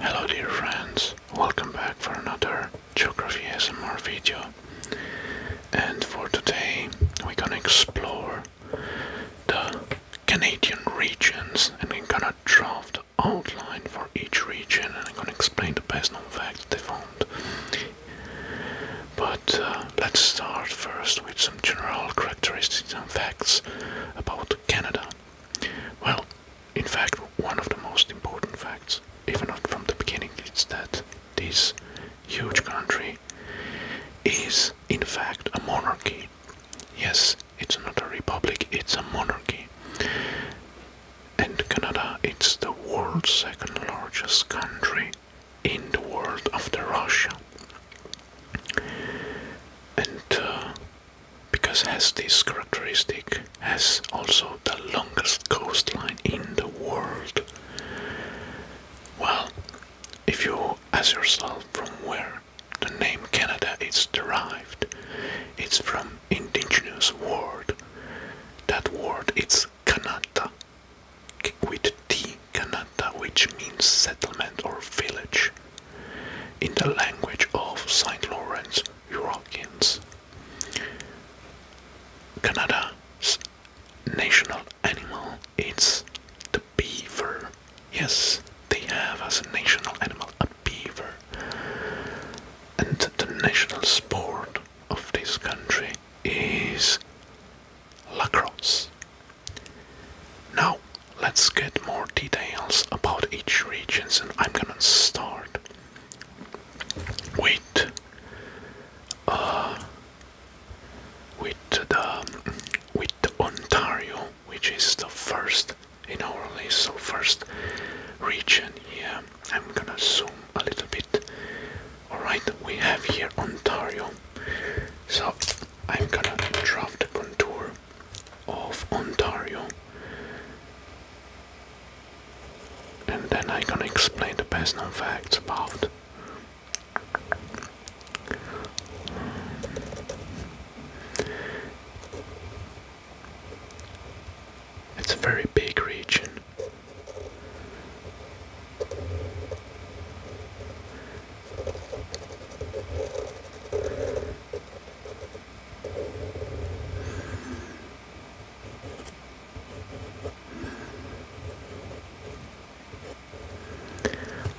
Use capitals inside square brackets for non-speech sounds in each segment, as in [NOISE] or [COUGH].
Hello dear friends, welcome back for another Geography SMR video and for today we're gonna explore the Canadian regions and I'm gonna draw the outline for each region and I'm gonna explain the personal known facts they found. But uh, let's start first with some general characteristics and facts about Canada. Well, in fact, one of the most important facts, even not from the beginning, is that this huge country is, in fact, a monarchy. Yes, it's not a republic, it's a monarchy. And Canada, it's the world's second largest country in the world of the Russia. And uh, because has this characteristic, has also the longest coastline in the world. Well, if you ask yourself from where the name Canada is derived, it's from indigenous word. That word it's Kanata, Kikwit T. which means settlement or village, in the language of St. Lawrence Europeans. Canada's national animal is the beaver. Yes, they have as a national animal a beaver. And the national sport of this country is Lacrosse. Now let's get more details about each regions, and I'm gonna start with uh, with the with Ontario which is the first in our list so first region here I'm gonna zoom a little bit alright we have here Ontario so I'm gonna draw the contour of Ontario and then I'm gonna explain the best known facts about it's a very big region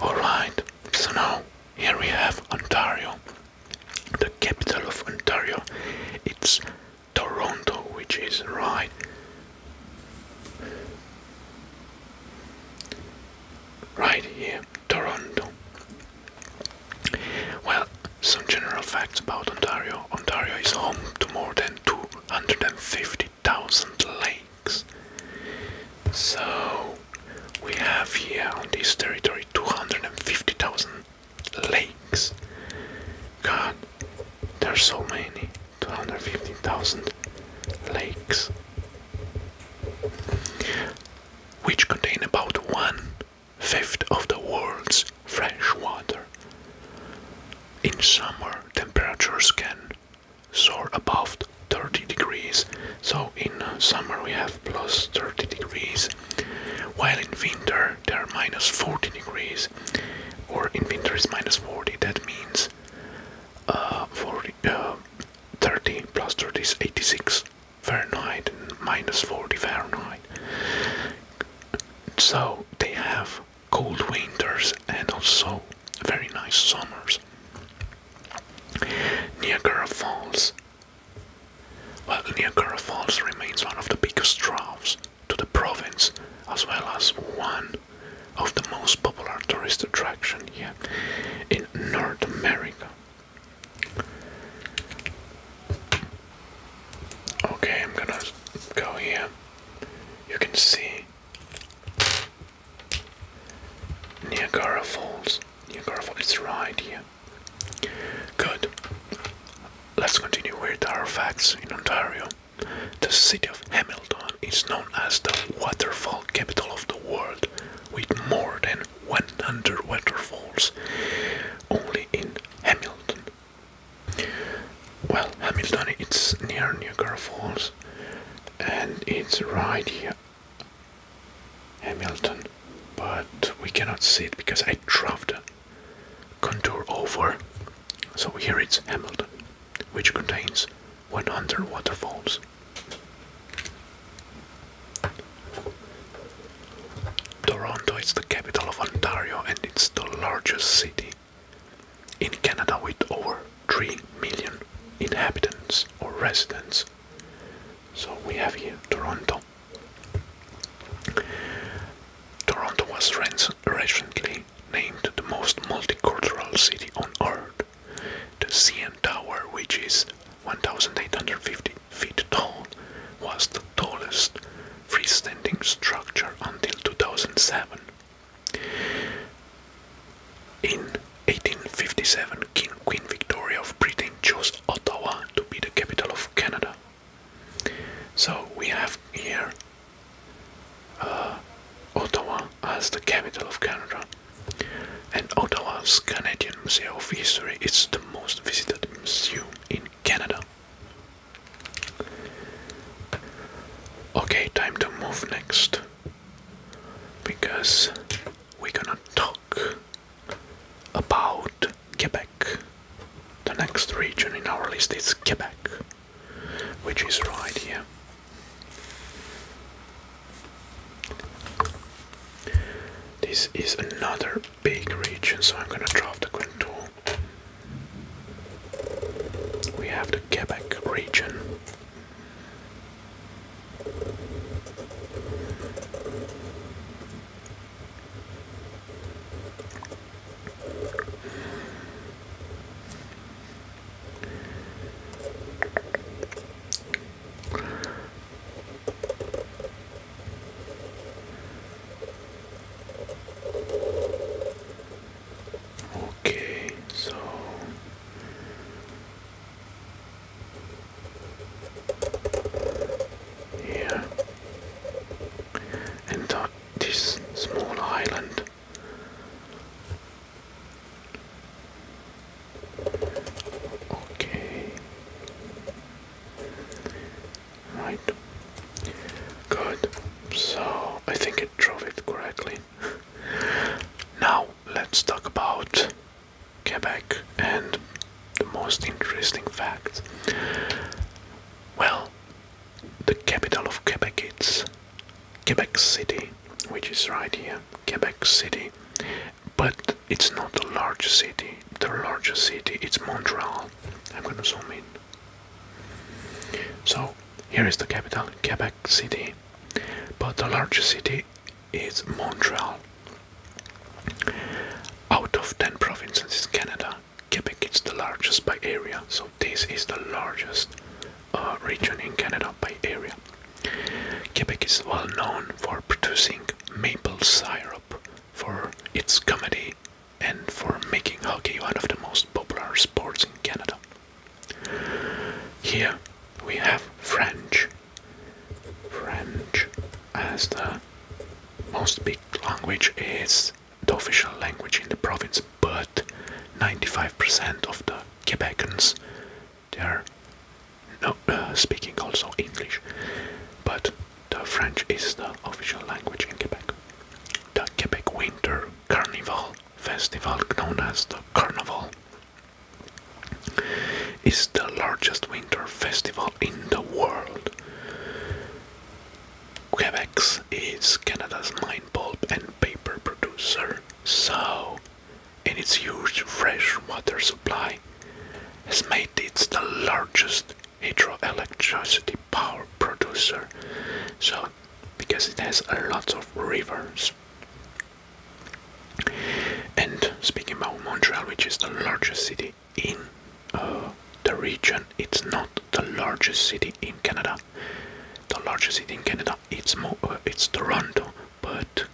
Alright, so now here we have Ontario, the capital of Ontario. It's Toronto, which is right right here, Toronto. Well, some general facts about Ontario. Ontario is home to more than 250,000 lakes. So, we have here on this territory 250,000 lakes. God, there are so many. 250,000 lakes, which contain about one fifth of the world's fresh water. In summer, temperatures can soar above 30 degrees, so in summer we have plus 30 degrees, while in winter there are minus 40 degrees, or in winter is minus 40, that means uh, 40, uh, 30 plus 30 is 86 Fahrenheit 40 Fahrenheit. So they have cold winters and also very nice summers. Niagara Falls. Well, Niagara Falls remains one of the biggest draws to the province as well as one of the most popular tourist attraction here in North America. Okay, I'm gonna go here. You can see Niagara Falls. Niagara Falls is right here. Good. Let's continue with our facts in Ontario. The city of Hamilton Hamilton is known as the waterfall capital of the world, with more than 100 waterfalls only in Hamilton. Well, Hamilton it's near Niagara Falls and it's right here. Hamilton, but we cannot see it because I dropped the contour over. So here it's Hamilton, which contains 100 waterfalls. Toronto is the capital of Ontario and it's the largest city in Canada with over 3 million inhabitants or residents. So we have here Toronto. Toronto was recently named the most multicultural city on earth the CN Tower, which is 1,850 feet tall, was the tallest freestanding structure until 2007. In 1857, King Queen Victoria of Britain chose Ottawa to be the capital of Canada. So we have here uh, Ottawa as the capital of Canada, and Ottawa's Canadian Museum of History is the most visited museum in Canada. Okay, time to move next because we're gonna talk about Quebec. The next region in our list is Quebec, which is right here. This is another big region, so I'm gonna draw the contour. We have the Quebec region. Okay, so yeah, and that, this small island Okay. Right. Good. So I think it drove it correctly. [LAUGHS] now let's talk about Quebec and the most interesting fact. Well, the capital of Quebec is Quebec City, which is right here. Quebec City, but it's not the largest city. The largest city it's Montreal. I'm gonna zoom in. So here is the capital, Quebec City, but the largest city is Montreal. Out of 10 provinces in Canada, Quebec is the largest by area, so this is the largest uh, region in Canada by area. Quebec is well known for producing maple syrup for its comedy and for making hockey one of the most popular sports in Canada. Here we have French. French as the most spoken language is the official language in the province, but 95% of the Quebecans they are no, [CLEARS THROAT] speaking also English, but the French is the official language in Quebec. The Quebec Winter Carnival Festival, known as the Carnival, is the largest winter festival in the world. Quebec is Canada's mine bulb and paper producer, so and its huge fresh water supply has made it the largest hydroelectricity power producer. So, because it has a lot of rivers. And speaking about Montreal, which is the largest city in uh, the region, it's not the largest city in Canada. The largest city in Canada, it's, Mo uh, it's Toronto, but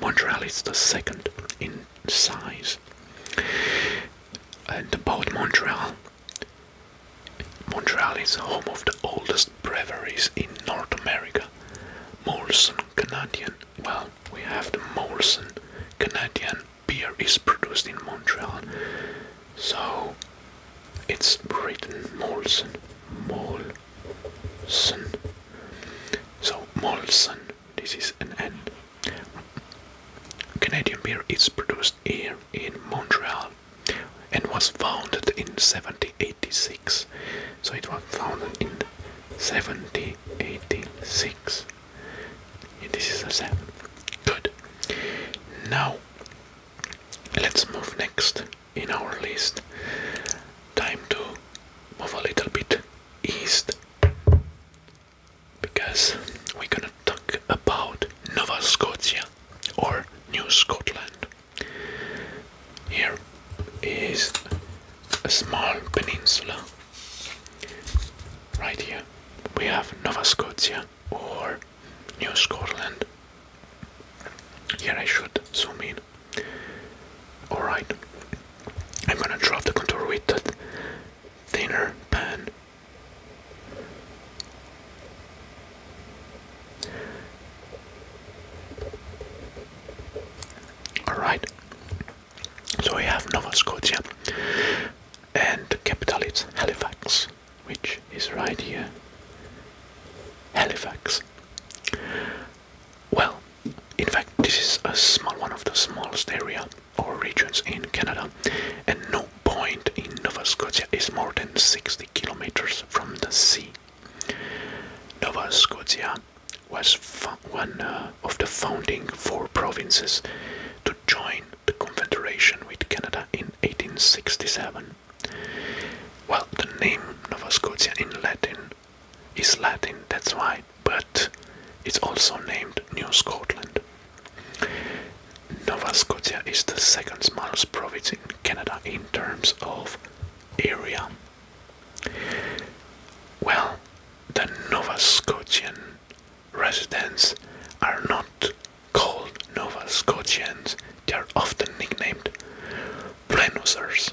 Montreal is the second in size. And about Montreal, Montreal is home of the oldest breweries in North America. Molson Canadian. Well, we have the Molson Canadian beer is produced in Montreal. So it's written Molson. Mol so Molson, this is an N. Canadian beer is produced here in Montreal and was founded in 1786. So it was founded in 1786. This is a 7. Good. Now let's move next in our list. Time to move a little bit east because we're gonna talk about Nova Scotia or New Scotland. Here is a small peninsula. Right here we have Nova Scotia or New Scotland. Here I should zoom in Alright, I'm gonna drop the contour with that thinner pan. Alright, so we have Nova Scotia and the capital is Halifax, which is right here. Halifax. Well, in fact, this is a small one of the smallest area or regions in Canada, and no point in Nova Scotia is more than 60 kilometers from the sea. Nova Scotia was one uh, of the founding four provinces to join the Confederation with Canada in 1867. Well, the name Nova Scotia in Latin is Latin, that's why, but it's also named New Scotland. Nova Scotia is the second smallest province in Canada in terms of area. Well, the Nova Scotian residents are not called Nova Scotians, they are often nicknamed Blenosers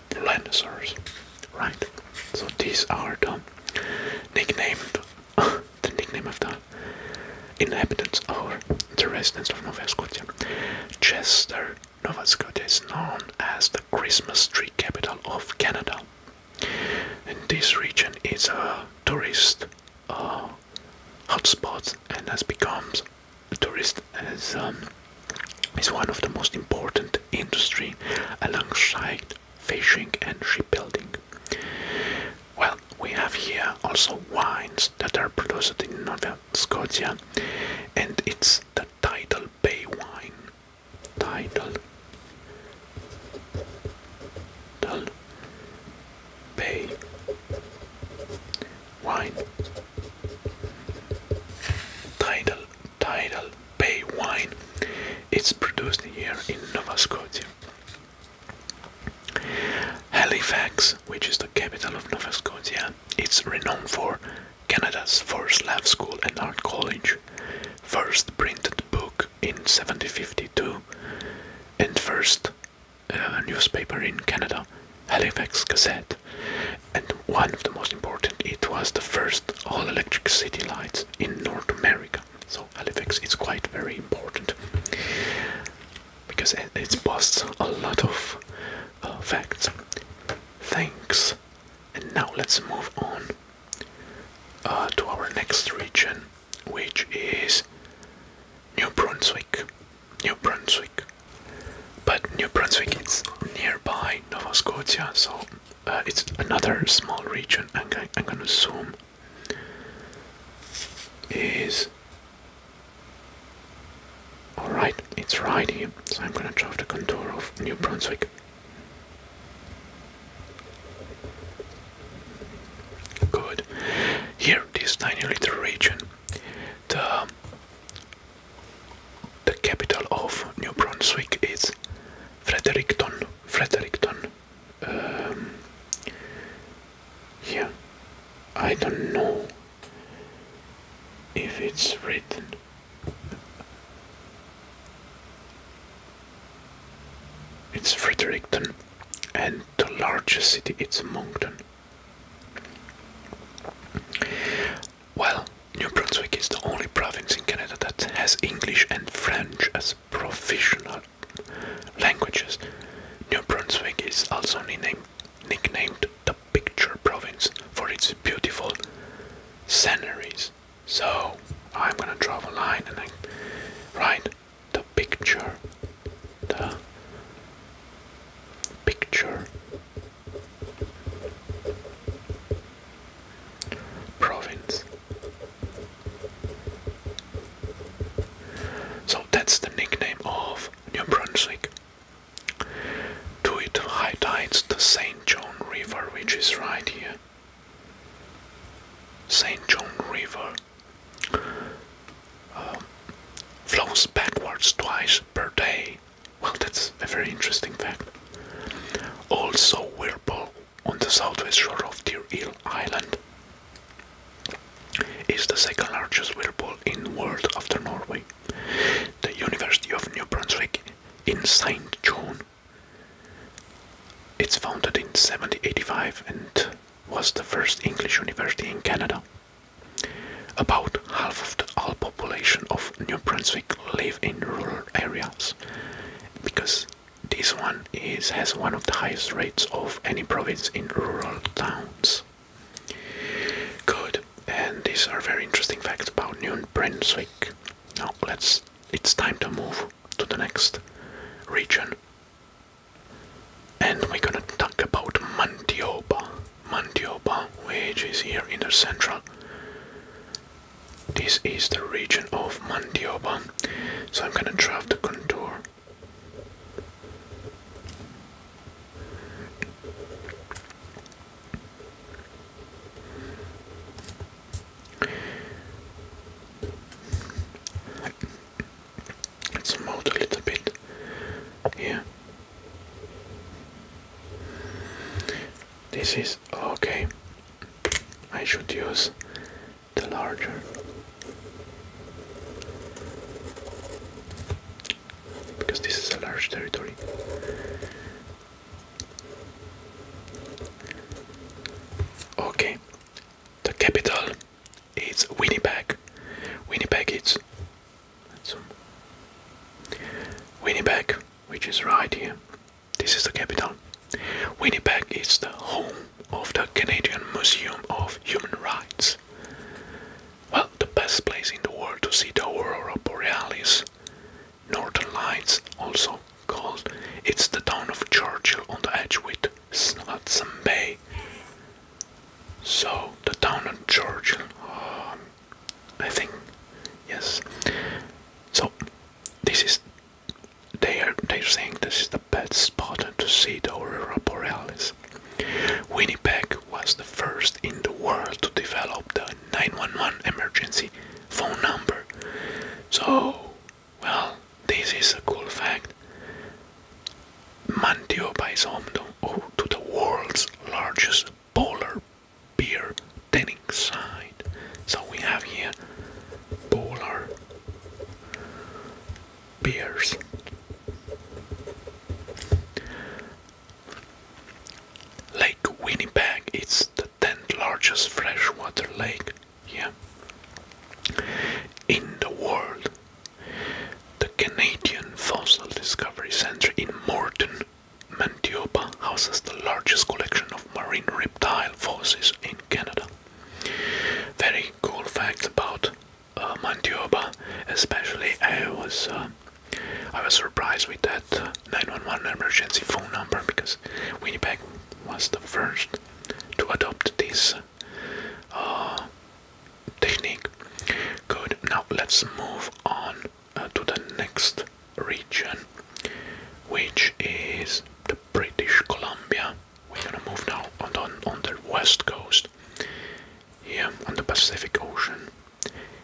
Tyrannosaurus, right? So these are the nicknamed [LAUGHS] the nickname of the inhabitants or the residents of Nova Scotia. Chester, Nova Scotia is known as the Christmas tree capital of Canada. this region is a tourist uh, hotspot and has become a tourist as um, is one of the most important industry alongside fishing and shipbuilding. Well, we have here also wines that are produced in Nova Scotia, and it's the Tidal Bay wine. Tidal, Tidal Bay wine. Tidal, Tidal Bay wine. It's produced here in Nova Scotia. Halifax, which is the capital of Nova Scotia, is renowned for Canada's first lab school and art college, first printed book in 1752, and first uh, newspaper in Canada, Halifax Gazette. And one of the most important, it was the first all-electric city lights in North America. So Halifax is quite very important because it's boasts a lot of uh, facts. Thanks. And now let's move on uh, to our next region, which is New Brunswick. New Brunswick. But New Brunswick is nearby Nova Scotia, so uh, it's another small region I'm, I'm gonna zoom is alright it's right here so I'm gonna draw the contour of New Brunswick good here this tiny little region the the capital of New Brunswick is Fredericton, Fredericton. Yeah, um, I don't know if it's written. It's Fredericton, and the largest city it's Moncton. Well, New Brunswick is the only province in Canada that has English and French as professional languages. New Brunswick is also nicknamed, nicknamed the Picture Province for its beautiful sceneries. So I'm gonna draw a line and write the picture, the picture province. So that's the nickname of New Brunswick. To it high tides the St. John River, which is right here. St. John River um, flows backwards twice per day. Well, that's a very interesting fact. Also, Whirlpool on the southwest shore of Deer Hill Island, is the second largest whirlpool in the world after Norway. The University of New Brunswick in St. John. It's founded in 1785 and was the first English university in Canada. About half of the all population of New Brunswick live in rural areas, because this one is has one of the highest rates of any province in rural towns. Good, and these are very interesting facts about New Brunswick. Now let's it's time to move to the next region. And we're gonna talk about Mantioba. Mantioba, which is here in the central this is the region of Mandioba. So I'm gonna draw the contour. Let's mold a little bit here. This is okay. I should use the larger because this is a large territory. Okay, the capital is Winnipeg. Winnipeg is Winnipeg, which is right here. This is the capital. Winnipeg is the home of the Canadian Museum of Human Rights. Well, the best place in the world to see the aurora borealis, northern lights, also called. It's the town of Churchill on the edge with Hudson Bay. So the town of Churchill, um, I think, yes. So this is they are they're saying this is the best spot to see the aurora borealis. Winnipeg was the first in the world to develop the 911 emergency phone number. So, well, this is a cool fact. Mantio Bisomno, oh, to the world's largest polar beer tanning side. So we have here polar beers. Lake Winnipeg is the 10th largest freshwater lake yeah, in the world. The Canadian Fossil Discovery Center in Morton, Mantiopa houses the largest collection of marine reptile fossils in Canada. Very cool fact about uh, Mantiopa, especially I was uh, I was surprised with that uh, 911 emergency phone number because Winnipeg was the first to adopt this uh, technique. Good. Now let's move on to the next region, which is the British Columbia. We're gonna move now on, on, on the west coast, here on the Pacific Ocean.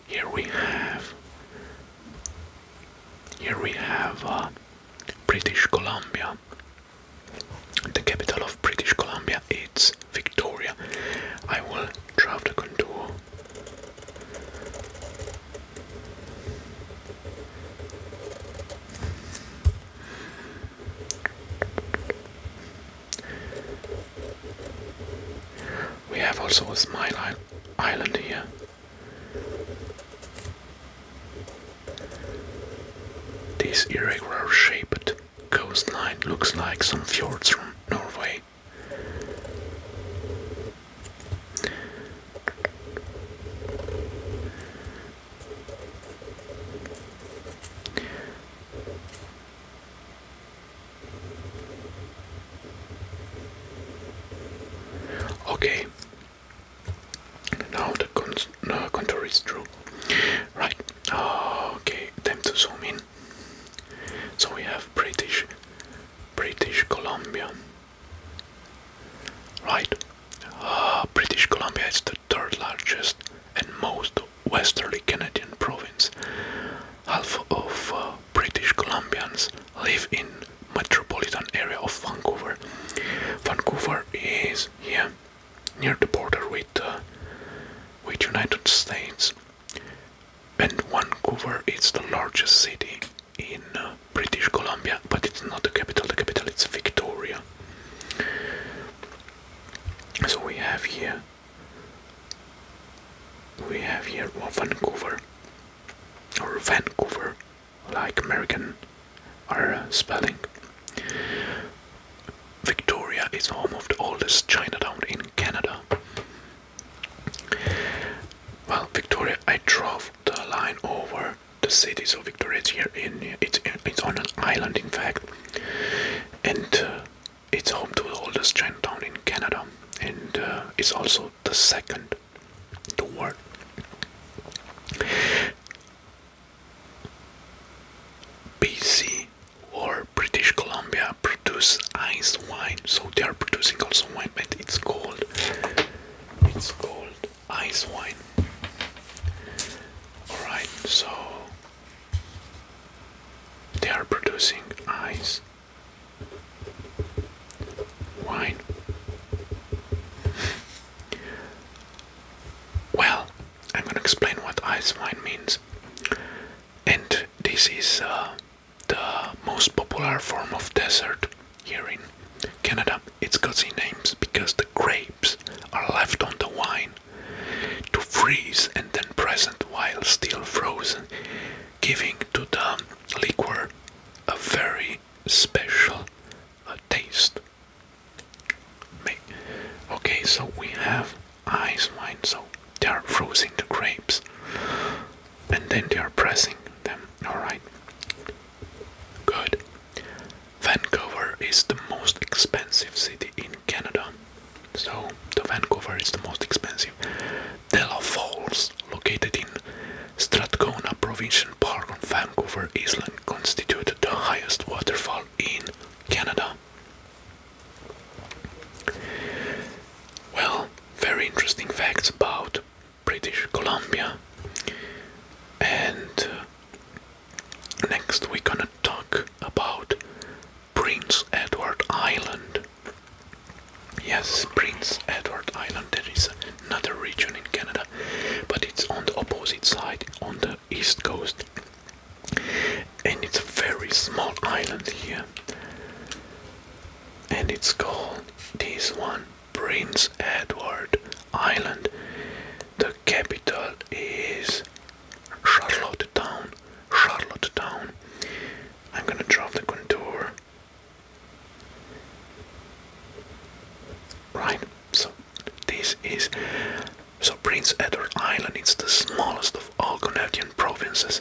Here we have, here we have uh, British Columbia. The capital of British Columbia is Victoria. I will draw the contour we have also a smile island here. This irregular shaped coastline looks like some fjords from Norway. Okay. Now the no, contour is true. Right. Okay. Time to zoom in. So we have British, British Columbia. Right. Ah, British Columbia is the third largest and most westerly Canadian province. Half of uh, British Columbians live in metropolitan area of Vancouver. Vancouver is here near the border with uh, with United States and Vancouver is the largest city in British Columbia, but it's not the capital, the capital is Victoria. So we have here we have here Vancouver or Vancouver like American are uh, spelling. Victoria is home of the oldest Chinatown in Canada. Well, Victoria, I drove the line over the cities of Victoria here in it's it's on an island, in fact, and uh, it's home to the oldest train town in Canada, and uh, it's also the second in the world. BC or British Columbia produce ice wine, so they are producing also wine, but it's cold. It's called ice wine. Alright, so they are producing ice wine. Well, I'm gonna explain what ice wine means. And this is uh, the most popular form of dessert here in Canada, it's got the names because the grapes are left on the wine to freeze and then present while still frozen, giving to the liquor a very special uh, taste. Okay, so we have ice wine, so they are freezing the grapes and then they are pressing them. Alright, Good. Vancouver is the most expensive city in Canada. So, the Vancouver is the most expensive. Della Falls, located in Strathcona Provincial Park on Vancouver Island, constituted the highest waterfall in Canada. Well, very interesting facts about British Columbia. And uh, next we're gonna talk about Prince Edward Island. Yes, Prince Edward Island, there is another region in Canada, but it's on the opposite side, on the east coast. And it's a very small island here. And it's called this one Prince Edward Island. The capital is Charlottetown. Charlottetown. I'm gonna drop the contour. Right, so this is so Prince Edward Island. It's the smallest of all Canadian provinces,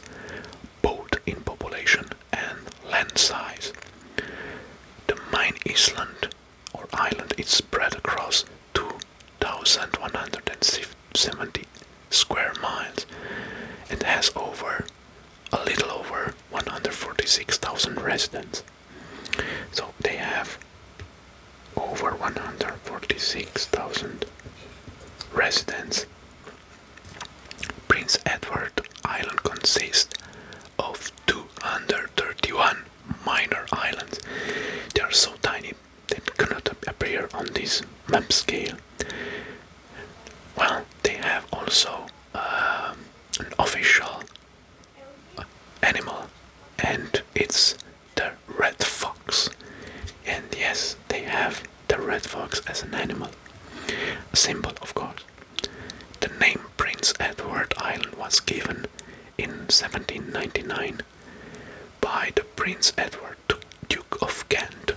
both in population and land size. The main island or island is spread across 2,170 square miles and has over a little over 146,000 residents. So they have over 146,000 residents. Prince Edward Island consists of 231 minor islands. They are so tiny they cannot appear on this map scale. Well, they have also um, an official animal, and it's the red fox. And yes, they have the red fox as an animal, a symbol, of course. The name Prince Edward Island was given in 1799 by the Prince Edward Duke of Kent.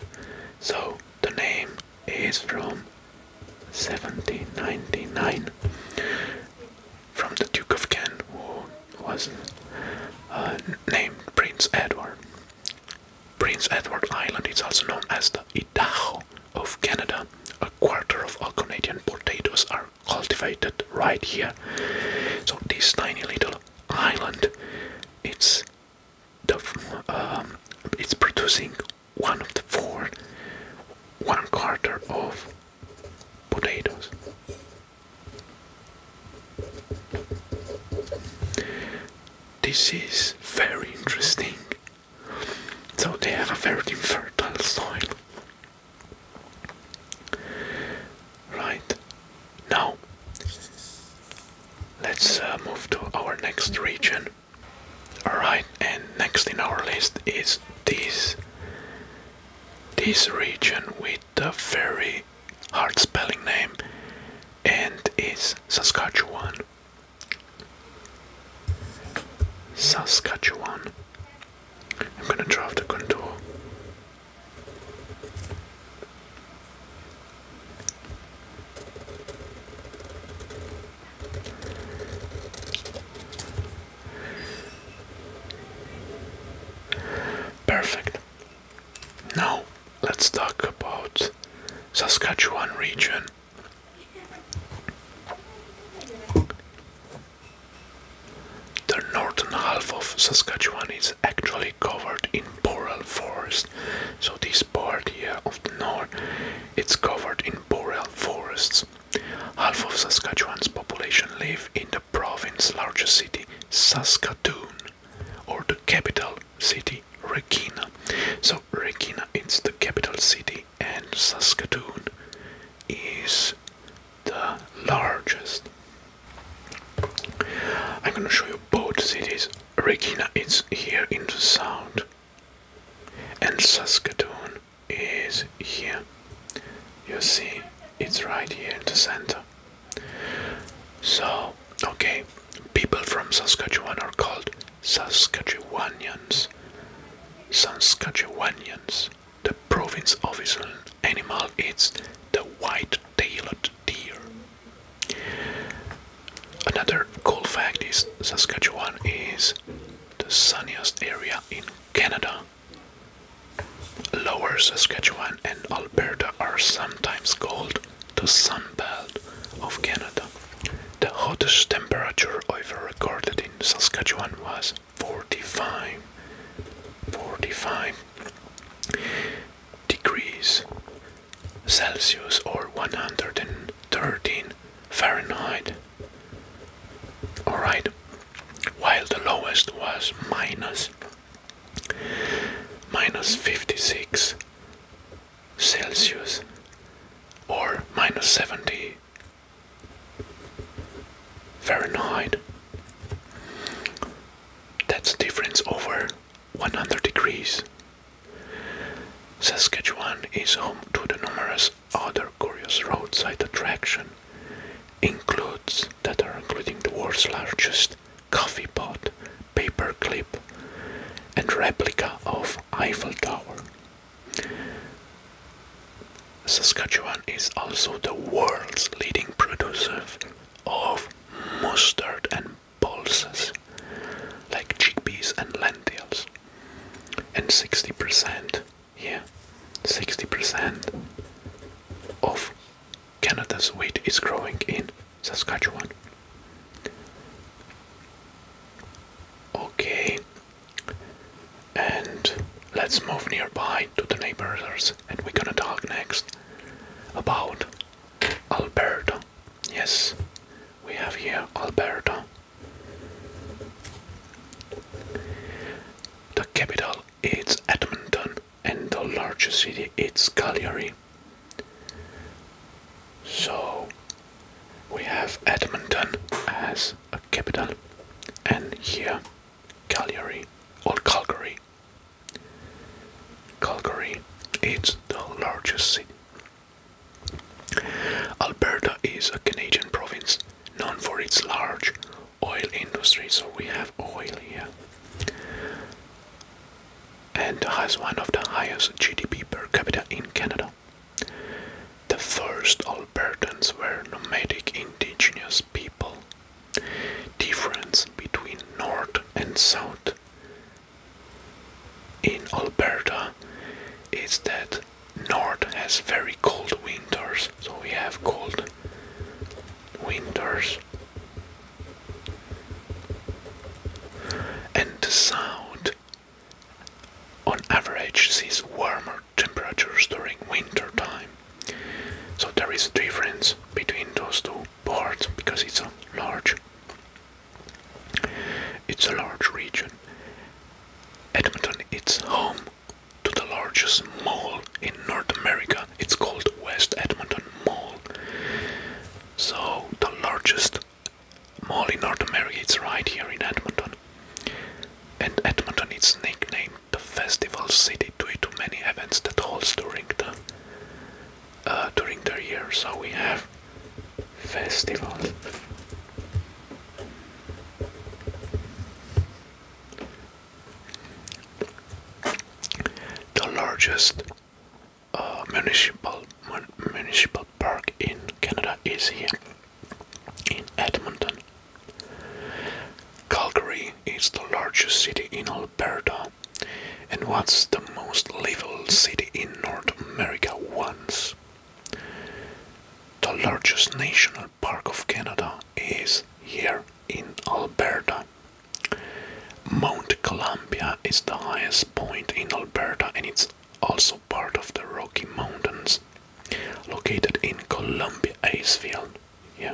So the name is from 1799 from the Duke of Kent who was uh, named Prince Edward. Prince Edward Island is also known as the Idaho of Canada, a quarter of all Canadian potatoes are cultivated right here. So this tiny little island, it's the um, it's producing one of the four, one quarter of potatoes. This is very interesting so they have a very fertile soil. Right. Now, let's uh, move to our next region. Alright, and next in our list is this. This region with a very hard spelling name and is Saskatchewan. Saskatchewan. I'm going to drive the contour. Perfect. Now let's talk about Saskatchewan region the northern half of Saskatchewan is actually covered in boreal forest. So this part here of the north, it's covered in boreal forests. Half of Saskatchewan's population live in the province's largest city, Saskatoon, or the capital city, Regina. So Regina is the capital city and Saskatoon is the largest. I'm gonna show you both cities. Regina is here in the south, and Saskatoon is here. You see, it's right here in the center. So, okay, people from Saskatchewan are called Saskatchewanians. Saskatchewanians. The province official animal is the white-tailed deer. Another cool fact is Saskatchewan is the sunniest area in Canada. Lower Saskatchewan and Alberta are sometimes called the Sun Belt of Canada. The hottest temperature ever recorded in Saskatchewan was 45, degrees Celsius or 113 Fahrenheit. Alright, while the lowest was minus minus 56 Celsius or minus 70 Fahrenheit. That's a difference over 100 degrees. Saskatchewan is home to the numerous other curious roadside attraction includes that are including the world's largest coffee pot, paperclip, and replica of Eiffel Tower. Saskatchewan is also the world's leading producer of mustard and pulses like chickpeas and lentils. And 60%, yeah, 60% of Canada's wheat is growing in Saskatchewan. Okay, and let's move nearby to the neighbors and we're gonna talk next about Alberta. Yes, we have here Alberta. The capital is Edmonton and the largest city is Calgary. So we have Edmonton as a capital, and here Calgary or Calgary. Calgary it's the largest city. Alberta is a Canadian province known for its large oil industry, so we have oil here. And has one of the highest GDP per capita in Canada. The first Albertans were nomadic indigenous people. Difference between North and South in Alberta is that North has very cold winters, so we have cold winters. And South on average sees warmer temperatures during winter time. So there is a difference between those two parts because it's a large it's a large region. Edmonton is home to the largest mall in North America. It's called West Edmonton Mall. So the largest mall in North America. It's right here in Edmonton. And Edmonton is nicknamed the Festival City due to many events that holds during the uh, during the year. So we have festivals. The largest uh, municipal municipal park in Canada is here in Edmonton. Calgary is the largest city in Alberta and was the most livable city in North America once. The largest national park of Canada is here in Alberta. Mount Columbia is the highest point in Alberta and it's also part of the Rocky Mountains, located in Columbia Icefield, yeah,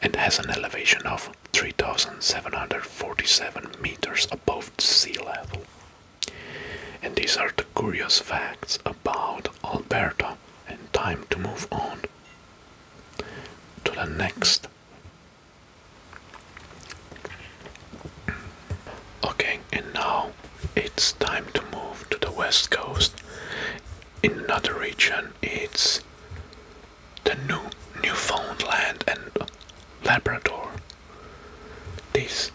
and has an elevation of 3,747 meters above sea level. And these are the curious facts about Alberta. And time to move on to the next. Okay, and now it's time to move to the west coast. In another region, it's the New Newfoundland and Labrador. This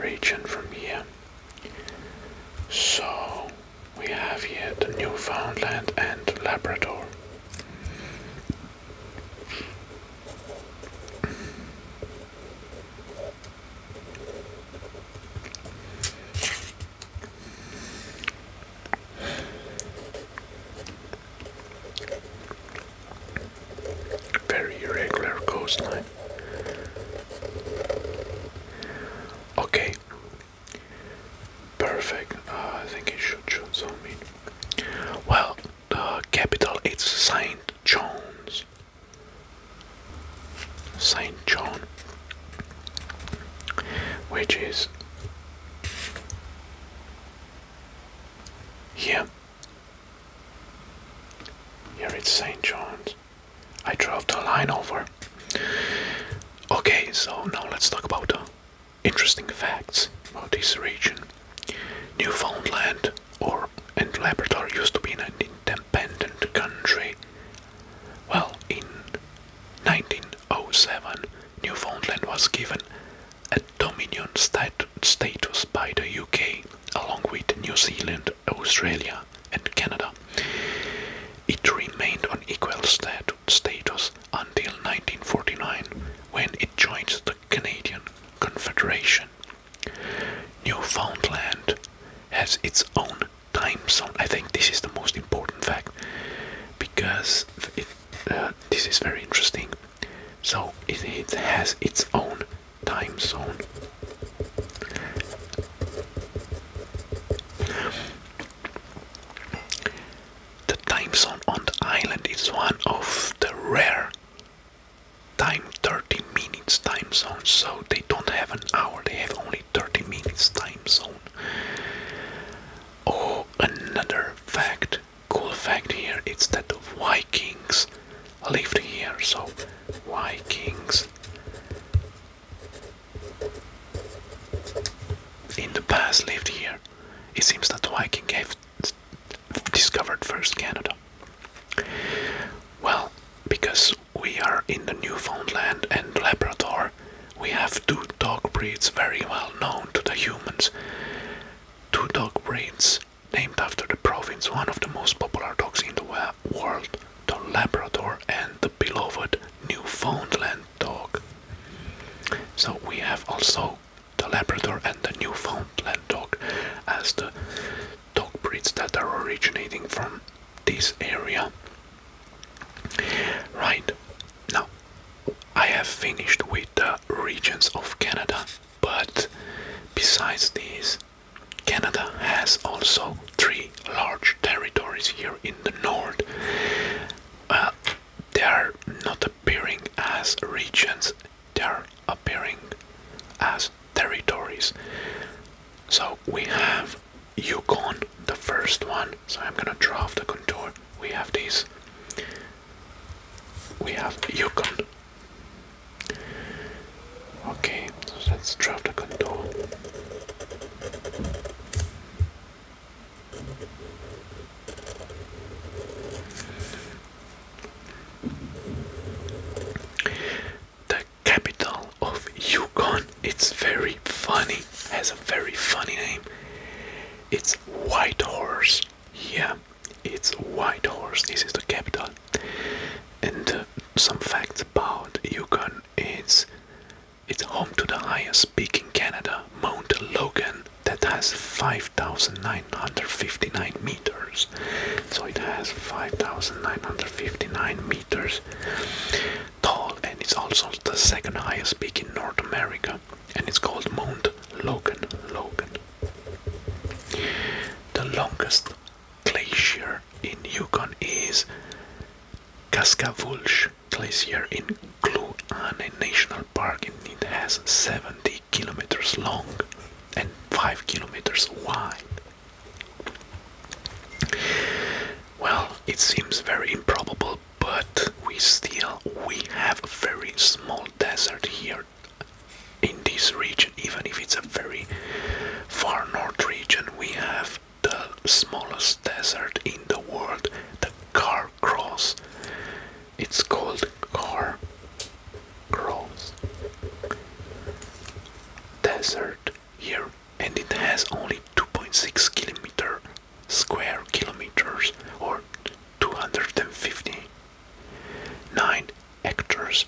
region from here. So we have here the Newfoundland and Labrador. Very irregular coastline. Okay, perfect. Ah, I think it should show some Well, the capital is Saint John's. Saint John, which is here. Here it's St. John's. I drove the line over. Okay, so now let's talk about interesting facts about this region. Newfoundland, or and Labrador used to be an independent country. Well, in 1907, Newfoundland was given a Dominion status by the UK, along with New Zealand, Australia, and Canada. It remained on equal status until 1949, when it joined the Canadian Confederation. Newfoundland has its own time zone. I think this is the most important fact because uh, this is very interesting. So it has its own time zone. The time zone on the island is one of the rare time 30 minutes time zone so they don't have an hour they have only 30 minutes time zone oh another fact cool fact here it's that the vikings lived here so vikings in the past lived here it seems that viking gave discovered first Canada? Well, because we are in the Newfoundland and Labrador, we have two dog breeds very well known to the humans. Two dog breeds named after the province, one of the most popular dogs in the world, the Labrador and the beloved Newfoundland dog. So we have also the Labrador and the Newfoundland dog as the dog breeds that are originating from this area. Right now, I have finished with the regions of Canada, but besides these, Canada has also three large territories here in the north. But uh, they are not appearing as regions they're appearing as territories. So we have Yukon, the first one. So I'm gonna draw off the contour. We have these. We have Yukon. Okay, so let's draw the contour. The capital of Yukon, it's very funny, has a very funny name. It's White Horse. Yeah, it's White Horse. This is the capital. And uh, some facts about Yukon is it's home to the highest peak in Canada, Mount Logan, that has 5,959 meters. So it has 5,959 meters tall and it's also the second highest peak in North America and it's called Mount Logan. Logan. The longest glacier in Yukon is Kaskavulsh Glacier in Gluane National Park and it has 70 kilometers long and 5 kilometers wide. Well, it seems very improbable, but we still we have a very small desert here in this region, even if it's a very far north region, we have the smallest desert in the world, the Car Cross. It's called Car grows. Desert here and it has only 2.6 kilometer square or 259 hectares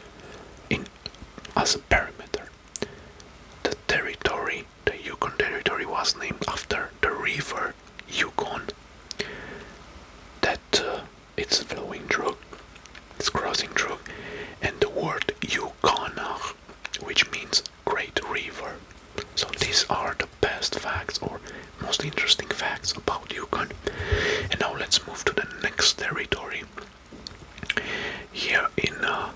in as a perimeter. The territory, the Yukon territory was named after the river Yukon that uh, it's flowing through, it's crossing through, and the word Yukonach, which means great river. So these are the best facts or most interesting facts about Yukon. And now let's move to the next territory. Here in uh,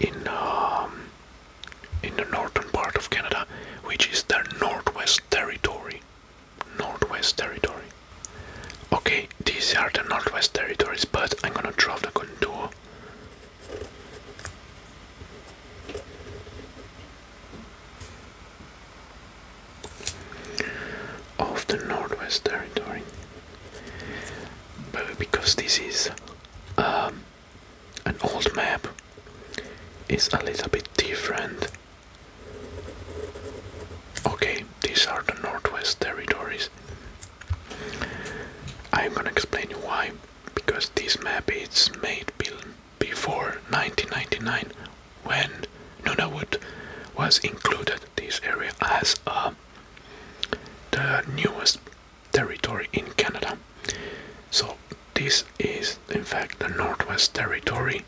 in um, in the northern part of Canada, which is the Northwest Territory. Northwest Territory. Okay, these are the Northwest Territories, but I'm gonna draw the contour. Of the Northwest Territory, but because this is um, an old map, it's a little bit different Okay, these are the Northwest Territories. I'm gonna explain you why. Because this map is made before 1999 when Nunavut was included this area as uh, the newest territory in Canada. So this is in fact the Northwest Territory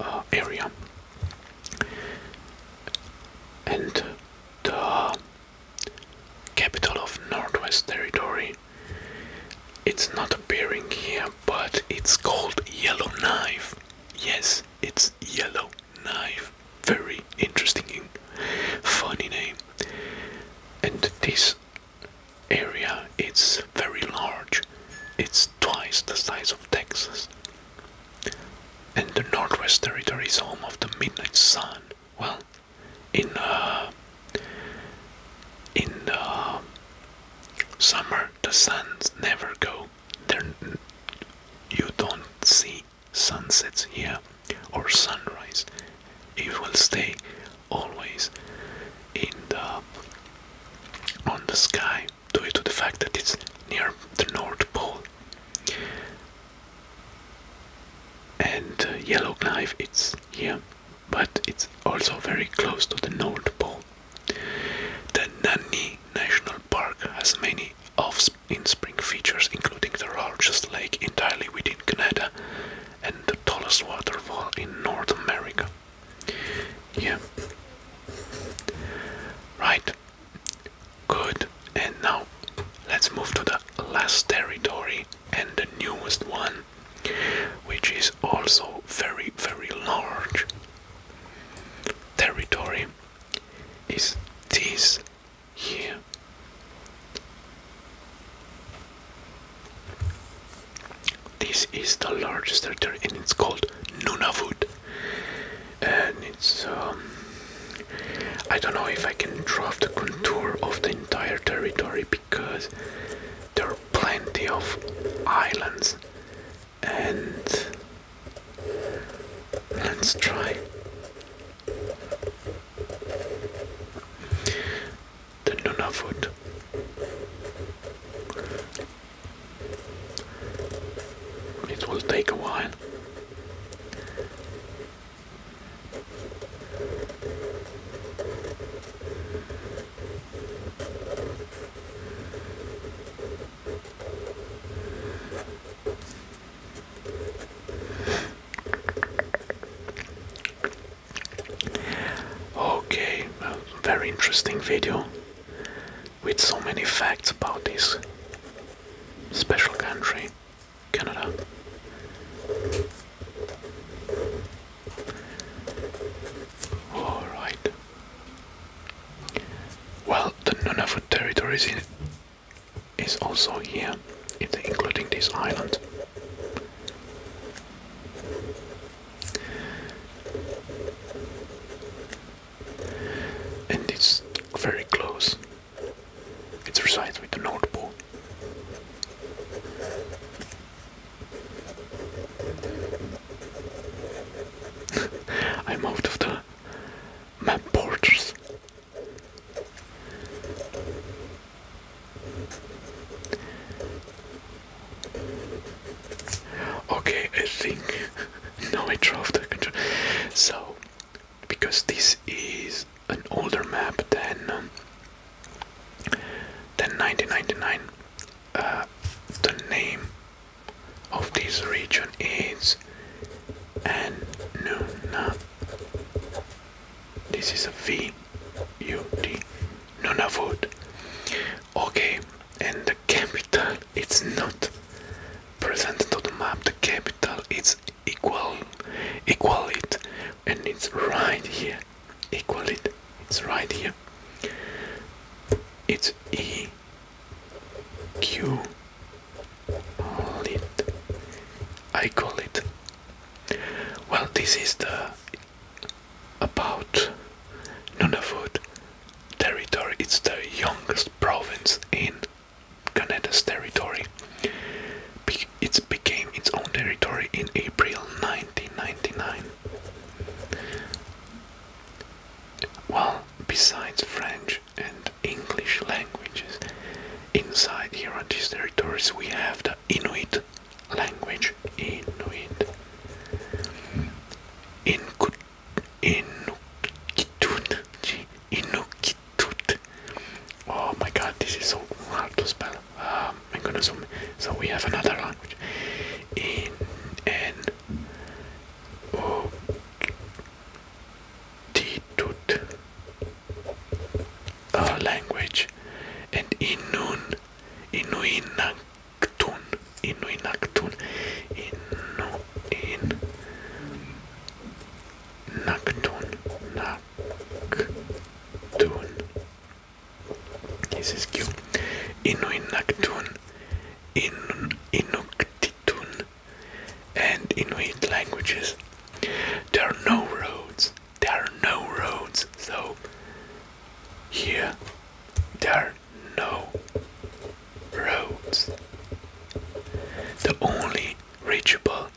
uh, area and the capital of Northwest Territory. It's not appearing here, but it's called Yellowknife. Yes, it's Yellowknife. Very interesting, funny name. And this area it's very large. It's twice the size of Texas. And the Northwest Territory is home of the Midnight Sun. Well, in uh, in the uh, summer, the suns never go. There, you don't see sunsets here or sunrise. It will stay always in on the sky due to the fact that it's near the North Pole. And uh, Yellowknife, it's here, but it's also very close to the North Pole. The Nani National Park has many off-in-spring features, including the largest lake entirely within Canada and the tallest waterfall in North America. Yeah. Right. Good. And now let's move to the last territory and the newest one, which is also very, very large. Territory is this here this is the largest territory and it's called Nunavut. And it's um, I don't know if I can draw the contour of the entire territory because there are plenty of islands and let's try the Nunavut it will take a while. Okay, very interesting video with so many facts about this special country, Canada. Alright. Well, the Nunavut territories is also here, including this island and it's very close. It resides with the North Pole. [LAUGHS] I'm out of the map Okay, I think [LAUGHS] No, I drove the control. So, because this is an older map than um, than 1999, uh, the name of this region is Nuna. This is a V U D Nunavut. Okay, and the capital it's not presented on the map. The capital It's equal, equal it, and it's right here. Equal it. It's right here. It's E Q lit. I call it. Well, this is the about Nunavut territory. It's the youngest province in Canada's territory. it became its own territory in April 1999. Well, besides French and English languages, inside here on these territories we have the Inuit language. Inuit. In Inuktitut. Inuktitut. Oh my god, this is so hard to spell. Um, I'm gonna zoom. So we have another language. In and oh, language and Inun Inuinak Actun, inu in Actun, inu in Nactun, Nactun. This is cute. Inu in Nactun, inu Inuktitun, and Inuit languages. There are no roads. There are no roads. So here, there no roads. The only reachable,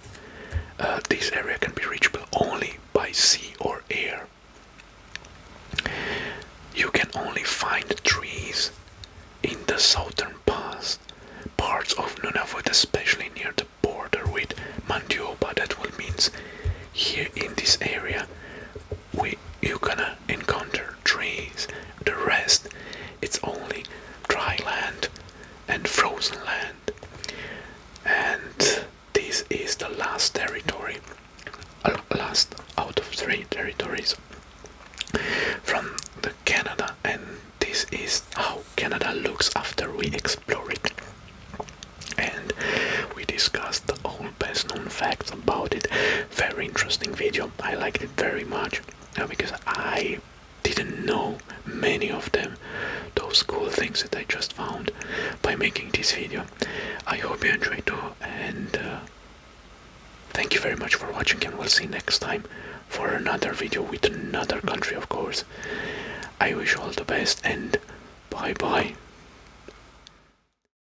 uh, this area can be reachable only by sea or air. You can only find trees in the southern pass, parts of Nunavut, especially near the border with Mandioba. That will means here in this area we you gonna encounter trees. The rest, it's only dry land and frozen land. And this is the last territory, uh, last out of three territories from the Canada. And this is how Canada looks after we explore it. And we discuss discuss the old best known facts about it. Very interesting video. I liked it very much uh, because I didn't know many of them. Those cool things that I just found by making this video. I hope you enjoyed too and uh, thank you very much for watching and we'll see next time for another video with another country of course. I wish you all the best and bye bye.